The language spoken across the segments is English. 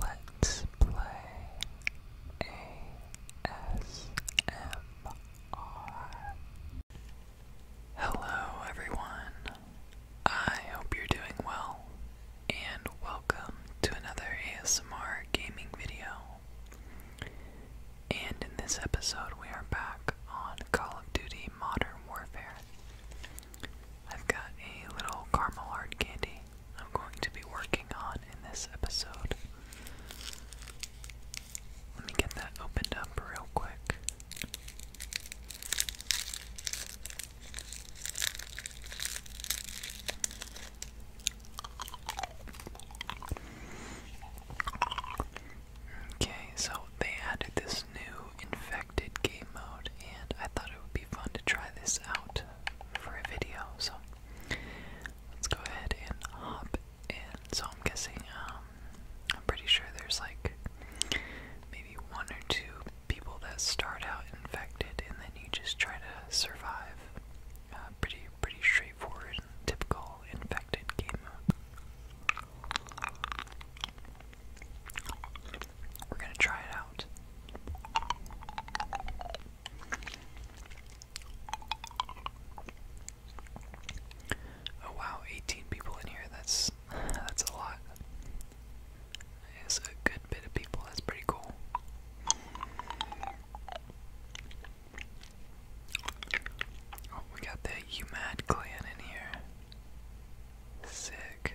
Let's play ASMR. Hello, everyone. I hope you're doing well, and welcome to another ASMR gaming video. And in this episode, we are back on Call of Duty Modern Warfare. I've got a little caramel hard candy I'm going to be working on in this episode. Let me get that opened up real quick. Okay, so they added this new infected game mode, and I thought it would be fun to try this out for a video. So let's go ahead and hop in. So I'm guessing, um, I'm pretty sure there's like maybe one or two people that start out infected, and then you just try to survive. Uh, pretty, pretty straightforward, typical infected game mode. We're gonna try it out. Oh wow, 18 people in here. That's that's a lot. It's a good bit of people. That's pretty cool. Oh, we got the UMAD clan in here. Sick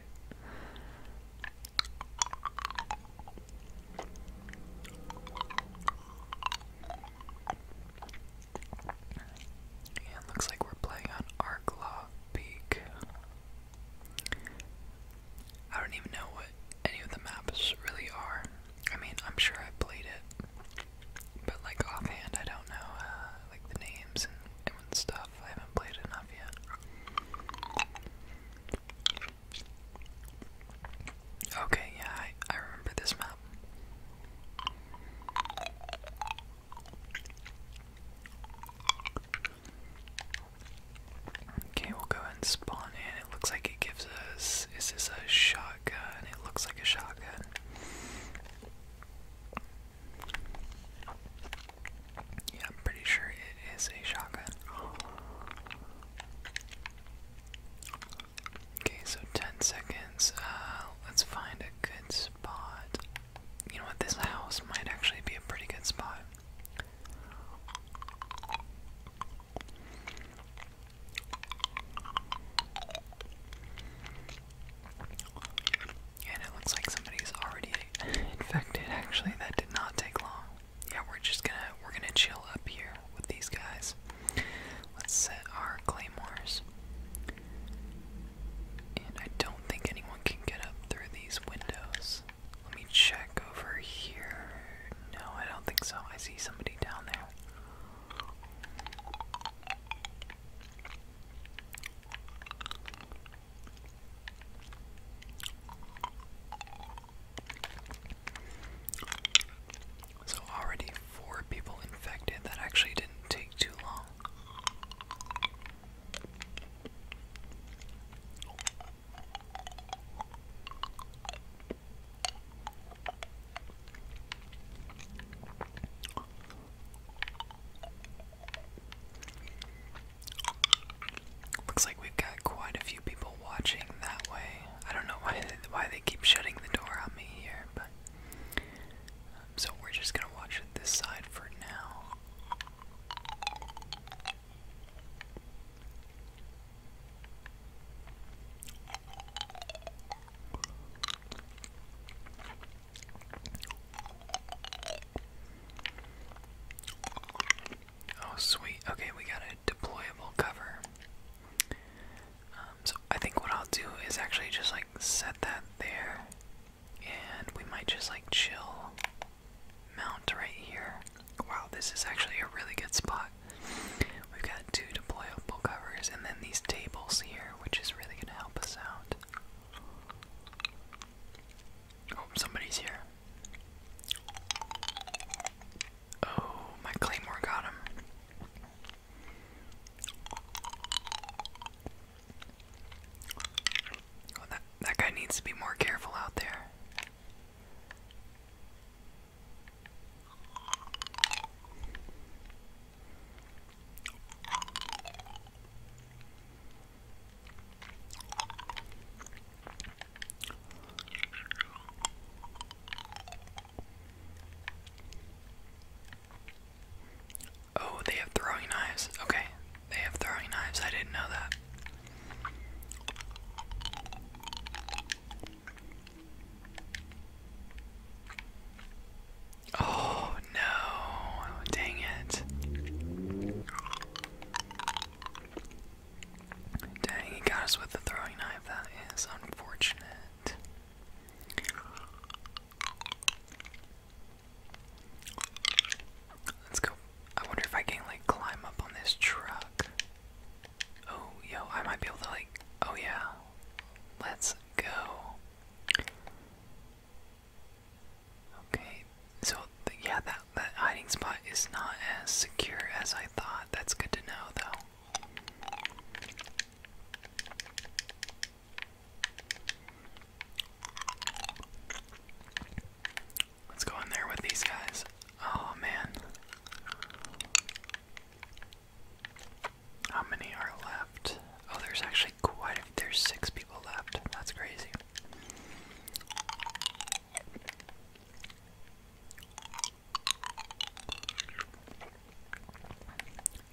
it looks like we're playing on Arklaw Peak. I don't even know what any of the maps really are. I mean, I'm sure I've played it, but like offhand, I don't know uh, like the names and, and stuff. I haven't played enough yet. Okay, yeah, I, I remember this map. Okay, we'll go and spawn in. It looks like it gives us. This Is a shotgun? It looks like a shotgun. Yeah, I'm pretty sure it is a shotgun. Okay, so 10 seconds. Uh, let's find a good spot. You know what? This house might actually be a pretty good spot. And it looks like somebody's already infected. Actually, that did not take long. Yeah, we're just gonna we're gonna chill up here with these guys. Let's set our claymores. And I don't think anyone can get up through these windows. Let me check over here. No, I don't think so. I see somebody down there. So, already four people infected. That actually didn't take too long. Looks like we've got quite a few people watching that way. I don't know why they, why they keep shutting the door on me here, but um, so we're just gonna watch this side for now. Oh, sweet. Okay, we got a deployable cover. Um, so I think what I'll do is actually just like set that there, and we might just like chill mount right here. Wow, this is actually a really good spot. We've got two deployable covers, and then these tables here, which is really going to help us out. Oh, somebody's here. Oh, my claymore got him. Oh, that that guy needs to be more careful out there. Oh, they have throwing knives. Okay, they have throwing knives. I didn't know that. Oh no, dang it. Dang, he got us with the throwing knife. That is unfortunate. Let's go. I wonder if I can, like, climb up on this truck. Oh, yo, I might be able to, like, oh yeah. Let's go. Okay, so yeah, that that hiding spot is not as secure as I thought. That's good to know, though. Let's go in there with these guys. Oh man. How many are left? Oh, there's actually quite There's six people left. That's crazy.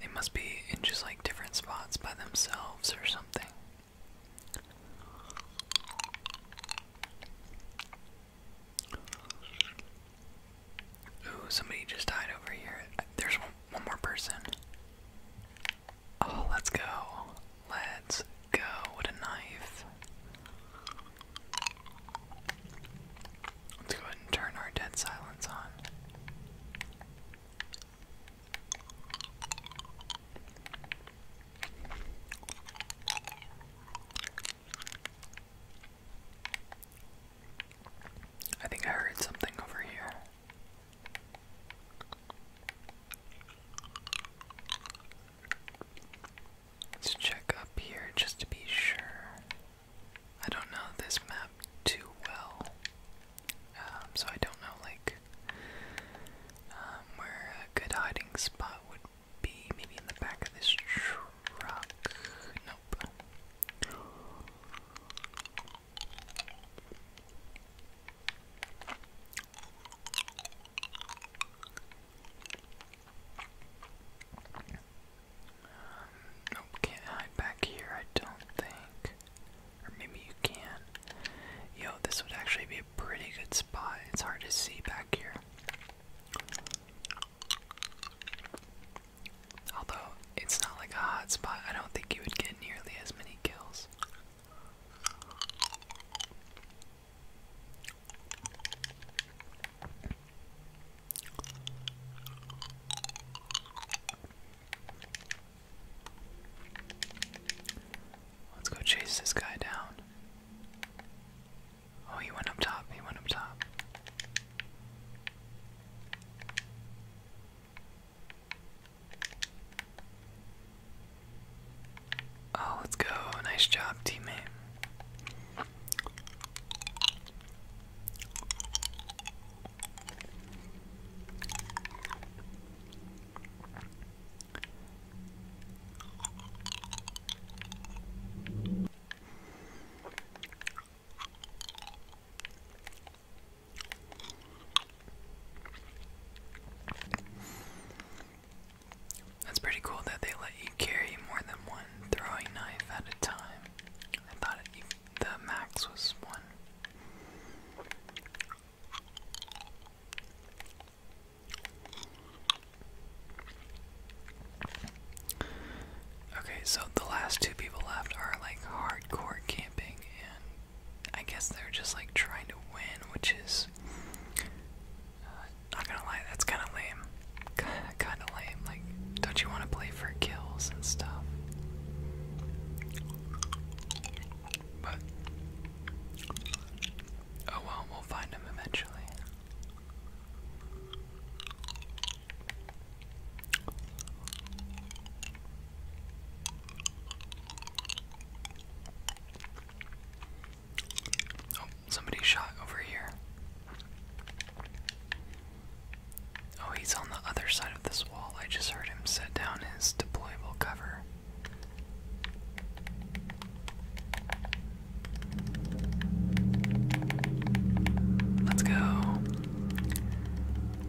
They must be in just like different spots by themselves or something. Ooh, somebody just died over here. There's one more person. Oh, let's go. Let's go. What a knife. Let's go ahead and turn our dead silence on. I think I heard something over here. Let's check up here just to be sure. I don't know this map too well, um, so I don't know like um, where a good hiding spot would be. Maybe in the back of this truck. Nope. Nope, can't hide back here, I don't think. Or maybe you can. Yo, this would actually be a pretty good spot. It's hard to see back here. Although it's not like a hot spot. I don't think you would get nearly as many kills. Let's go chase this guy down. Oh, he went up top. He went up top. Oh, let's go. Nice job, teammate. That's pretty cool that they let you carry more than one throwing knife at a time. I thought the max was one. Okay, so the last two people left are like hardcore gamers. I guess they're just like trying to win, which is uh, not gonna lie, that's kind of lame. kind of lame. Like, don't you want to play for kills and stuff? But oh well, we'll find him eventually. Oh, somebody shot over here. Oh, he's on the other side of this wall. I just heard him set down his deployable cover. Let's go.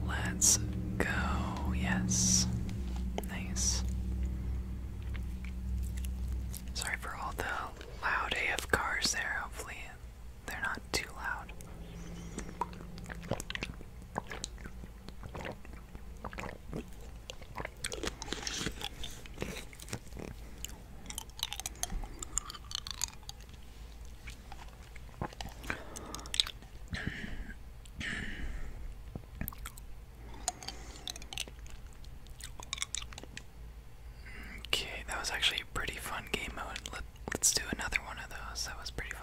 Let's go. Yes. Nice. Sorry for all the loud AF cars there. Hopefully, they're not too loud. Okay, that was actually a pretty fun game mode. Let, us do another one of those. That was pretty fun.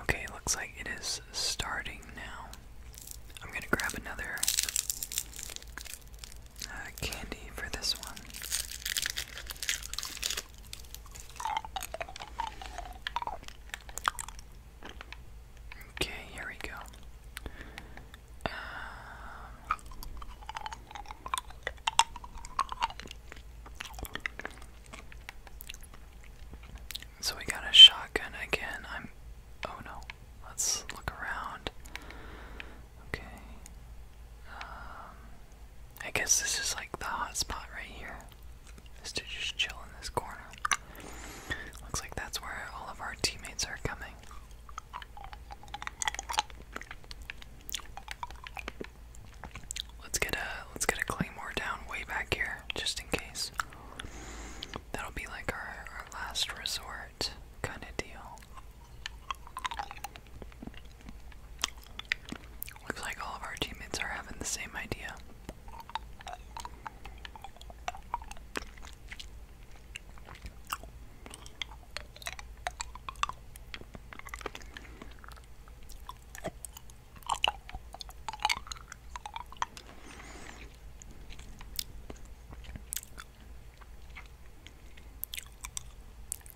Okay, looks like it is starting now. I'm gonna grab another uh, candy for this one. Okay, here we go. Um, so we got a shotgun again. I'm. Oh no. Let's look around. Okay. Um, I guess this is like the hot spot right here. Is to just chill in this corner. Looks like that's where all of our teammates are coming. Let's get a let's get a claymore down way back here, just in case. That'll be like our last resort kind of deal. Looks like all of our teammates are having the same idea.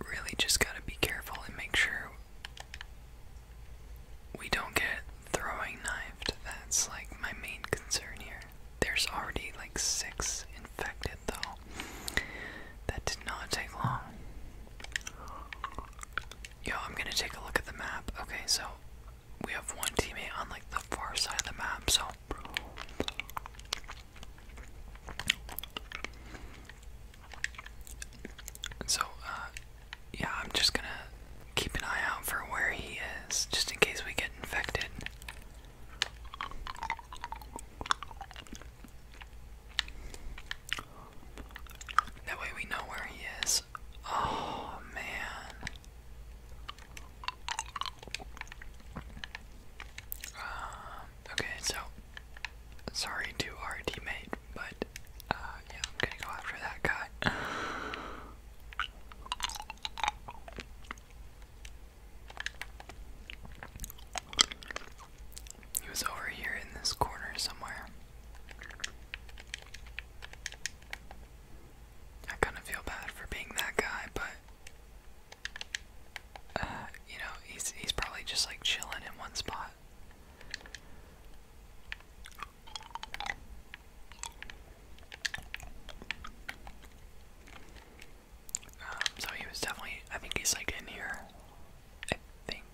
Really, just gotta be careful and make sure we don't get throwing knifed. That's like my main concern here. There's already like six in infected, though. That did not take long. Yo, I'm gonna take a look at the map. Okay, so we have one teammate on like the far side of the map, so. So, uh, yeah, I'm just gonna keep an eye out for where he is, just in case we get infected. That way we know where he is. Oh, man. Um, okay, so sorry to our teammate, but uh, yeah, I'm gonna go after that guy. He was over here in this corner somewhere. I kind of feel bad for being that guy, but uh, you know, he's he's probably just like chilling in one spot. Um, so he was definitely, I think he's like in here. I think.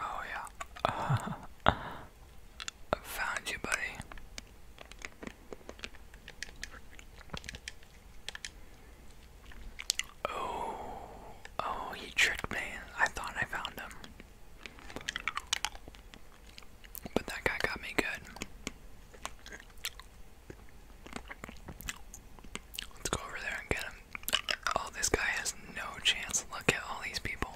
Oh, yeah. I found you, buddy. Oh, oh, he tricked me. I thought I found him. But that guy got me good. Let's go over there and get him. Oh, this guy has no chance. Look at all these people.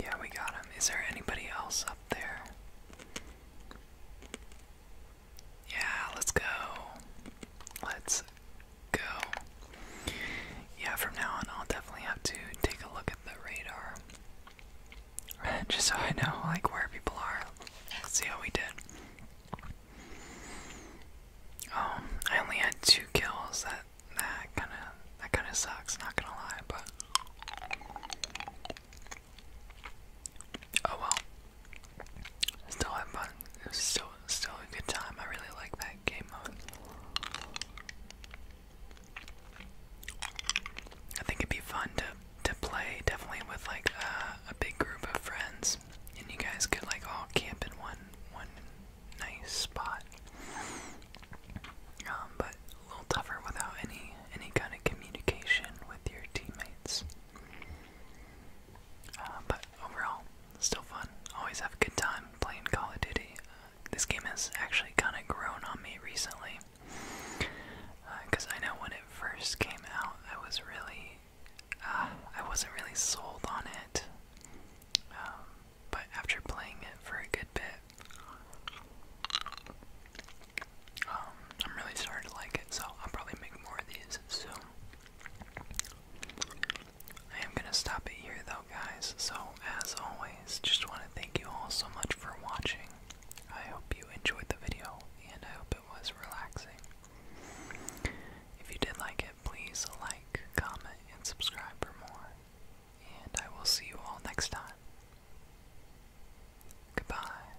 Yeah, we got him. Is there anybody else up there? Yeah, let's go. Let's go. Yeah, from now on, I'll definitely have to take a look at the radar. Just so I know, like, where people are. Let's see how we did. Oh, I only had two kills. That that kind of that kind of sucks. Not gonna lie, but oh well. Still had fun. It was still still a good time. I really like that game mode. I think it'd be fun to to play definitely with like uh, a, big group of friends, and you guys could like all camp in one one nice spot. Um, but a little tougher without any any kind of communication with your teammates. Uh, but overall, still fun. Always have a good time playing Call of Duty. Uh, this game has actually kind of grown on me recently. Because uh, I know when it first came out, I was really. I wasn't really sold on it. Um, but after playing it for a good bit, um, I'm really starting to like it, so I'll probably make more of these soon. I am going to stop it here though, guys. So, as always, just want to thank you all so much for watching. I hope you enjoyed the video and I hope it was relaxing. If you did like it, please like, comment, and subscribe for more. And I will see you all next time. Goodbye.